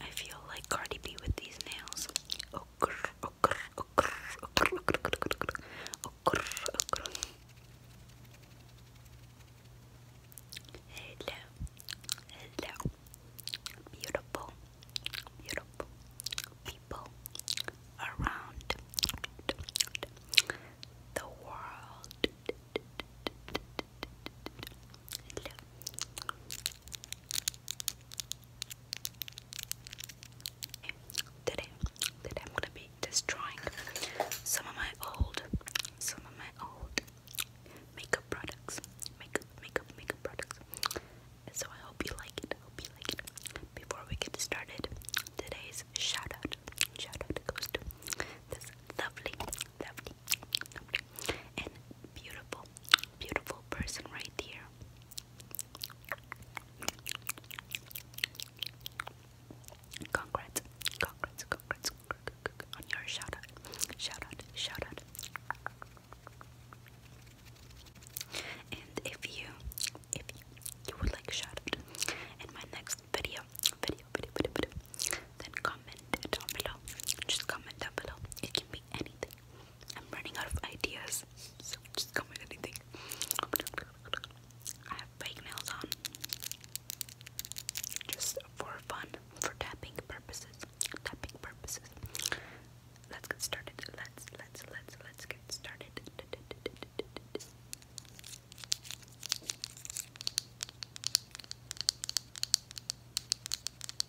I feel like Cardi B with these nails. Hello, hello, beautiful, beautiful people around the world. Today, today I'm gonna be destroying some of my old, some of my old makeup products, makeup, makeup, makeup products. And so I hope you like it. I hope you like it. Before we get started, today's shout out, shout out goes to this lovely, lovely, and beautiful, beautiful person right here. Congrats, congrats, congrats, on your shout out, shout out, shout out. And if you, if you, you would like shout out in my next video, video, video, video, video, then comment down below. Just comment down below. It can anything. I'm running out of ideas, so just come with anything. I have fake nails on just for fun, for tapping purposes. Tapping purposes. Let's get started. Let's let's let's let's get started.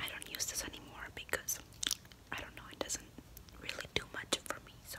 I don't use this anymore because I don't know, it doesn't really do much for me, so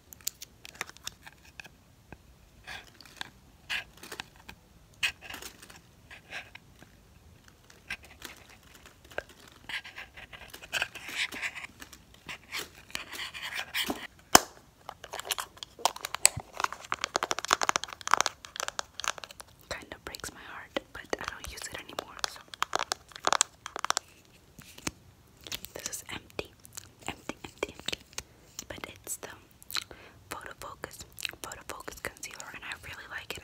Kind of breaks my heart, but I don't use it anymore, this is empty, empty, empty, But it's the Photo Focus, Photo Focus Concealer, and I really like it.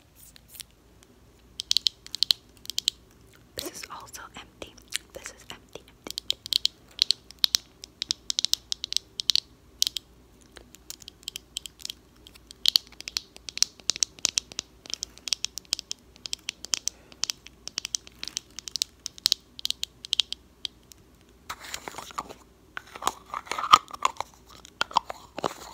This is also empty. This is empty,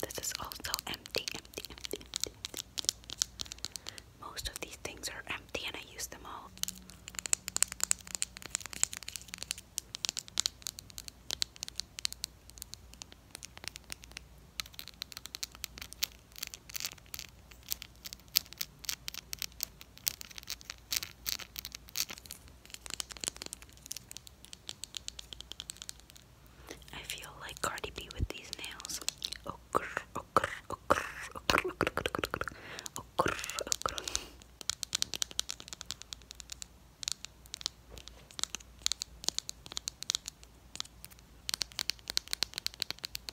This is also empty, empty, empty, Most of these things are empty and I use them all. I feel like Cardi B with these nails.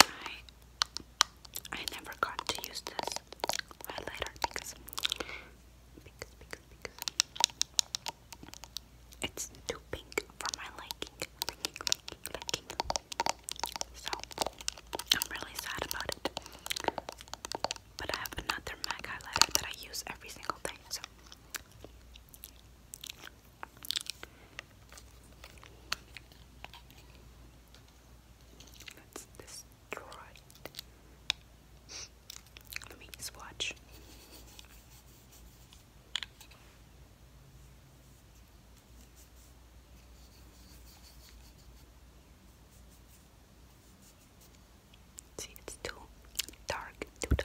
I I never got to use this highlighter because because because because it's too pink for my liking. So I'm really sad about it. But I have another MAC highlighter that I use every single day, so Let's destroy it. See, it's too dark, too dark.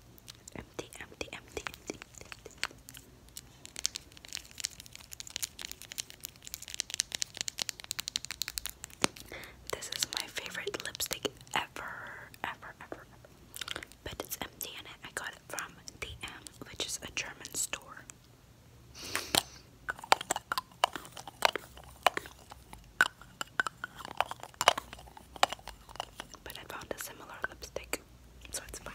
Empty, empty, empty, empty. This is my favorite lipstick ever, ever, ever, But it's empty in I got it from DM, which is a German store. But I found a similar lipstick, so it's fine.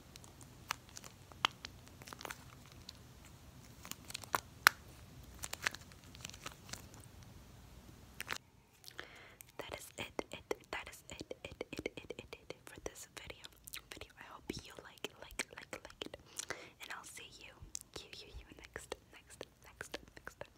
That is it, it, that is it, it, it, it, it, it, for this video. Video. I hope you like, like, like, like And I'll see you, you, you, you next, next, next, next.